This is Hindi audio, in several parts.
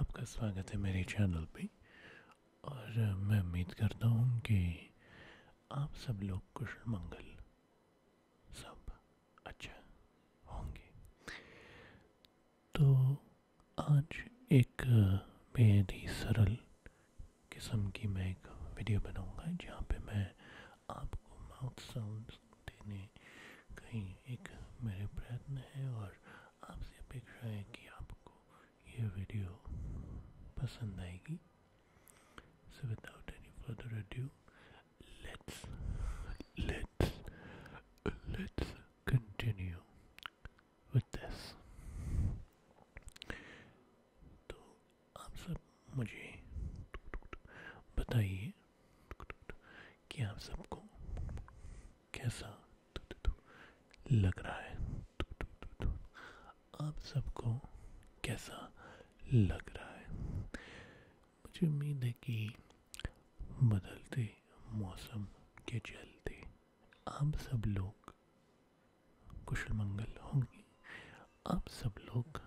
आपका स्वागत है मेरे चैनल पे और मैं उम्मीद करता हूँ कि आप सब लोग कुशल मंगल सब अच्छा होंगे तो आज एक बेहद ही सरल किस्म की मैं एक वीडियो बनाऊंगा जहाँ पे मैं आपको माउथ साउंड देने का ही एक मेरे प्रयत्न है और आपसे अपेक्षा है कि आपको ये वीडियो पसंद आएगी so without any further adieu let's let's let's continue with this तो आप सब मुझे बताइए कि आप सबको कैसा तु तु तु लग रहा है तु तु तु तु आप सबको कैसा लग रहा है मुझे उम्मीद है कि बदलते मौसम के चलते आप सब लोग कुशल मंगल होंगे आप सब लोग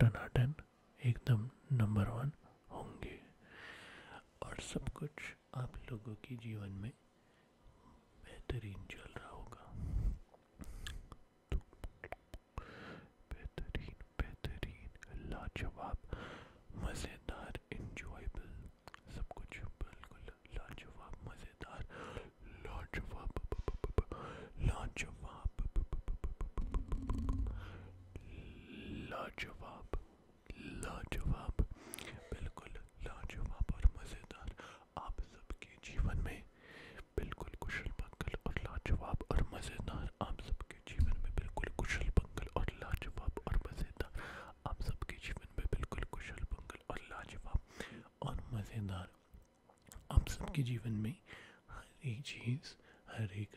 टनाटन एकदम नंबर वन होंगे और सब कुछ आप लोगों के जीवन में बेहतरीन चल रहा होगा बेहतरीन बेहतरीन लाजवाब मज़ेदार इंजॉयबल सब कुछ बिल्कुल लाजवाब मज़ेदार लाजवाब लाजवाब लाजवाब लाजवाब बिल्कुल लाजवाब और मज़ेदार आप सबके जीवन में बिल्कुल कुशल मंगल और लाजवाब और मज़ेदार आप सबके जीवन में बिल्कुल कुशल मंगल और लाजवाब और मज़ेदार आप सबके जीवन में बिल्कुल कुशल मंगल और लाजवाब और मज़ेदार आप सबके जीवन में हर एक चीज़ हर एक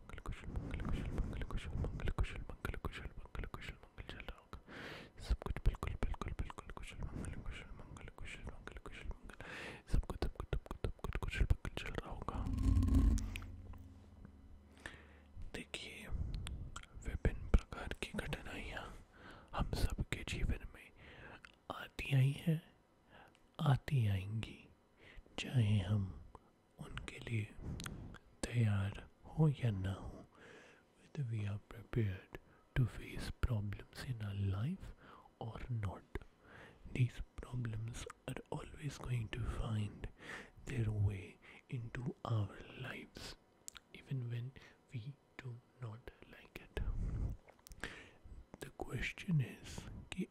मंगल कुशल मंगल कुशल मंगल कुशल मंगल कुशल मंगल कुशल मंगल कुशल मंगल चल रहा होगा सब कुछ बिल्कुल बिल्कुल बिल्कुल कुशल मंगल कुशल मंगल कुशल मंगल कुशल मंगल सब कुछ सब कुछ सब कुछ सब कुछ कुशल मंगल चल रहा होगा देखिए विभिन्न प्रकार की घटनाएँ हम सब के जीवन में आती आई हैं आती आएंगी चाहे हम उनके लिए तैयार हो या ना हो whether we are prepared to face problems in our life or not. These problems are always going to find their way into our lives, even when we do not like it. The question is कि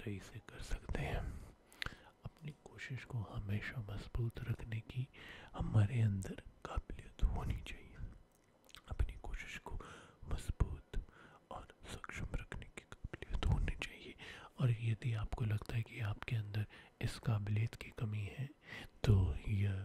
सही से कर सकते हैं अपनी कोशिश को हमेशा मजबूत रखने की हमारे अंदर काबिलियत होनी चाहिए अपनी कोशिश को मजबूत और सक्षम रखने की काबिलियत होनी चाहिए और यदि आपको लगता है कि आपके अंदर इस काबिलियत की कमी है तो यह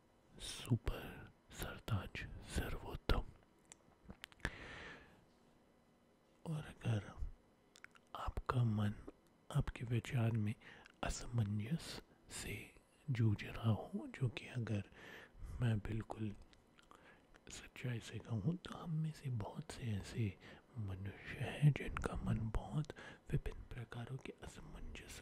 सुपर सरताज सर्वोत्तम और अगर आपका मन आपके विचार में असमंजस से जूझ रहा हो जो कि अगर मैं बिल्कुल सच्चाई से कहूँ तो हम में से बहुत से ऐसे मनुष्य हैं जिनका मन बहुत विभिन्न प्रकारों के असमंजस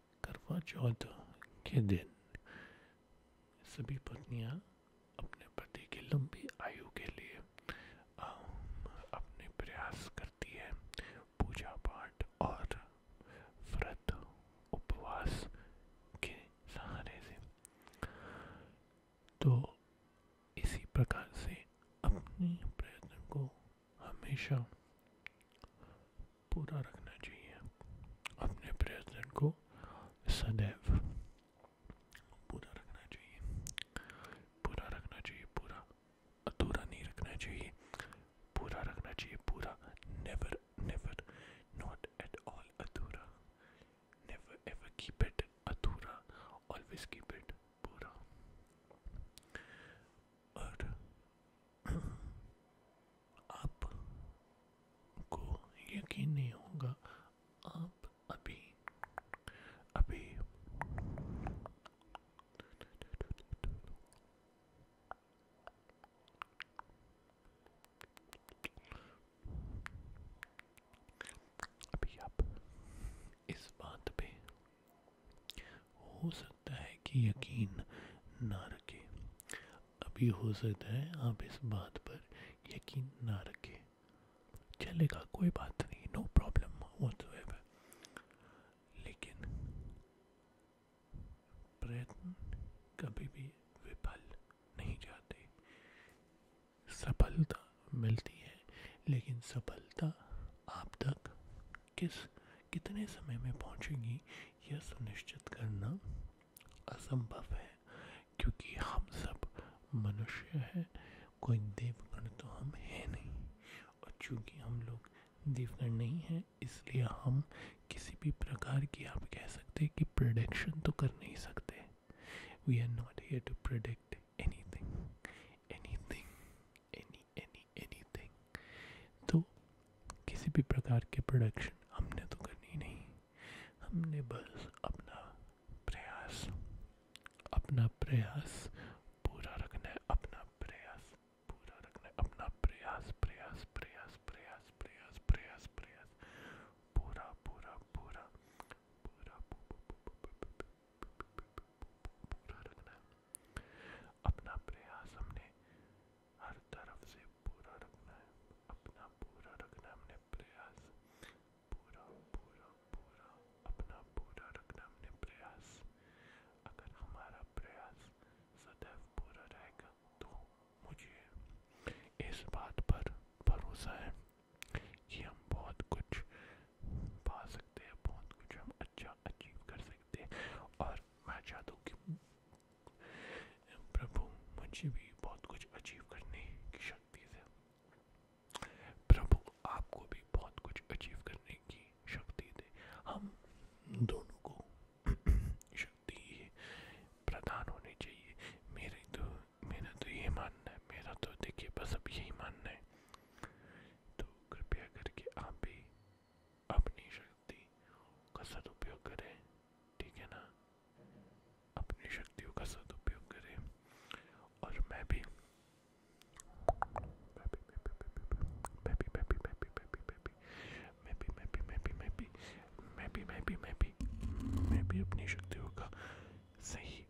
करवा चौथ के दिन सभी पत्निया अपने पति की लंबी आयु के लिए अपने प्रयास करती है पूजा पाठ और व्रत उपवास के सहारे से तो इसी प्रकार से अपने प्रयत्न को हमेशा पूरा रखना चाहिए अपने प्रयत्न को सदैव पूरा रखना चाहिए पूरा रखना चाहिए पूरा अधूरा नहीं रखना चाहिए पूरा रखना चाहिए पूरा never never not at all अधूरा नेवर एवर कीप इट अधूरा ऑलवेज कीप इट पूरा और आप को यकीन नहीं होगा आप अभी अभी अभी आप इस बात पे होश सकता है कि यकीन ना रखें अभी हो सकता है आप इस बात पर यकीन ना रखें चलेगा कोई बात नहीं नो प्रॉब्लम लेकिन प्रयत्न कभी भी विफल नहीं जाते सफलता मिलती है लेकिन सफलता आप तक किस कितने समय में पहुंचेगी यह सुनिश्चित करना असंभव है क्योंकि हम सब मनुष्य हैं कोई देवगण तो हम हैं नहीं और चूंकि हम लोग देवगण नहीं हैं इसलिए हम किसी भी प्रकार की आप कह सकते हैं कि प्रडिक्शन तो कर नहीं सकते we are not here to predict anything anything भी प्रकार के प्रोडक्शन हमने तो करनी नहीं हमने बस अपना प्रयास अपना प्रयास पूरा रखना है अपना प्रयास पूरा रखना है अपना प्रयास प्रयास प्रयास प्रयास प्रयास प्रयास प्रयास पूरा पूरा पूरा पूरा पूरा रखना है अपना प्रयास हमने हर तरफ से पूरा रखना है अपना पूरा रखना हमने प्रयास पूरा पूरा पूरा अपना पूरा रखना हमने प्रयास अगर हमारा प्रयास सदैव पूरा रहेगा तो मुझे इस बात पर भरोसा है कि हम बहुत कुछ पा सकते हैं बहुत कुछ हम अच्छा अचीव कर सकते हैं और मैं चाहता हूँ कि प्रभु मुझे भी बहुत कुछ अचीव करने की शक्ति दे प्रभु आपको भी बहुत कुछ अचीव करने की शक्ति दे हम दोनों को शक्ति प्रदान होनी चाहिए मेरे तो मेरा तो ये मानना है मेरा तो देखिए बस अब यही मानना है तो कृपया करके आप भी अपनी शक्ति का सदुपयोग करें ठीक है ना अपनी शक्तियों का सदुपयोग करें और मैं भी मैं भी अपनी शक्तियों का सही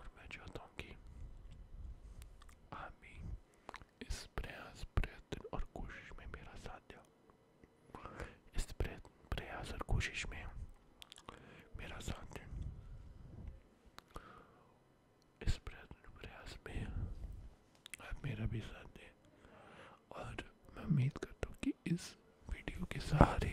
और मैं चाहता हूँ कि आप भी इस प्रयास प्रयत्न और कोशिश में मेरा साथ दो इस प्रयास और कोशिश में मेरा साथ दें इस प्रयत्न प्रयास में आप मेरा भी साथ दें और मैं उम्मीद करता हूँ कि इस वीडियो के सहारे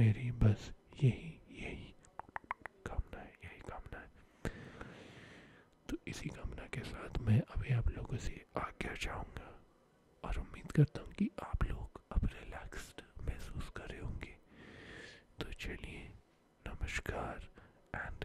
मेरी बस यही यही कामना है यही कामना है तो इसी कामना के साथ मैं अभी आप लोगों से आगे जाऊंगा और उम्मीद करता हूँ कि आप लोग अब रिलैक्स्ड महसूस कर रहे होंगे तो चलिए नमस्कार एंड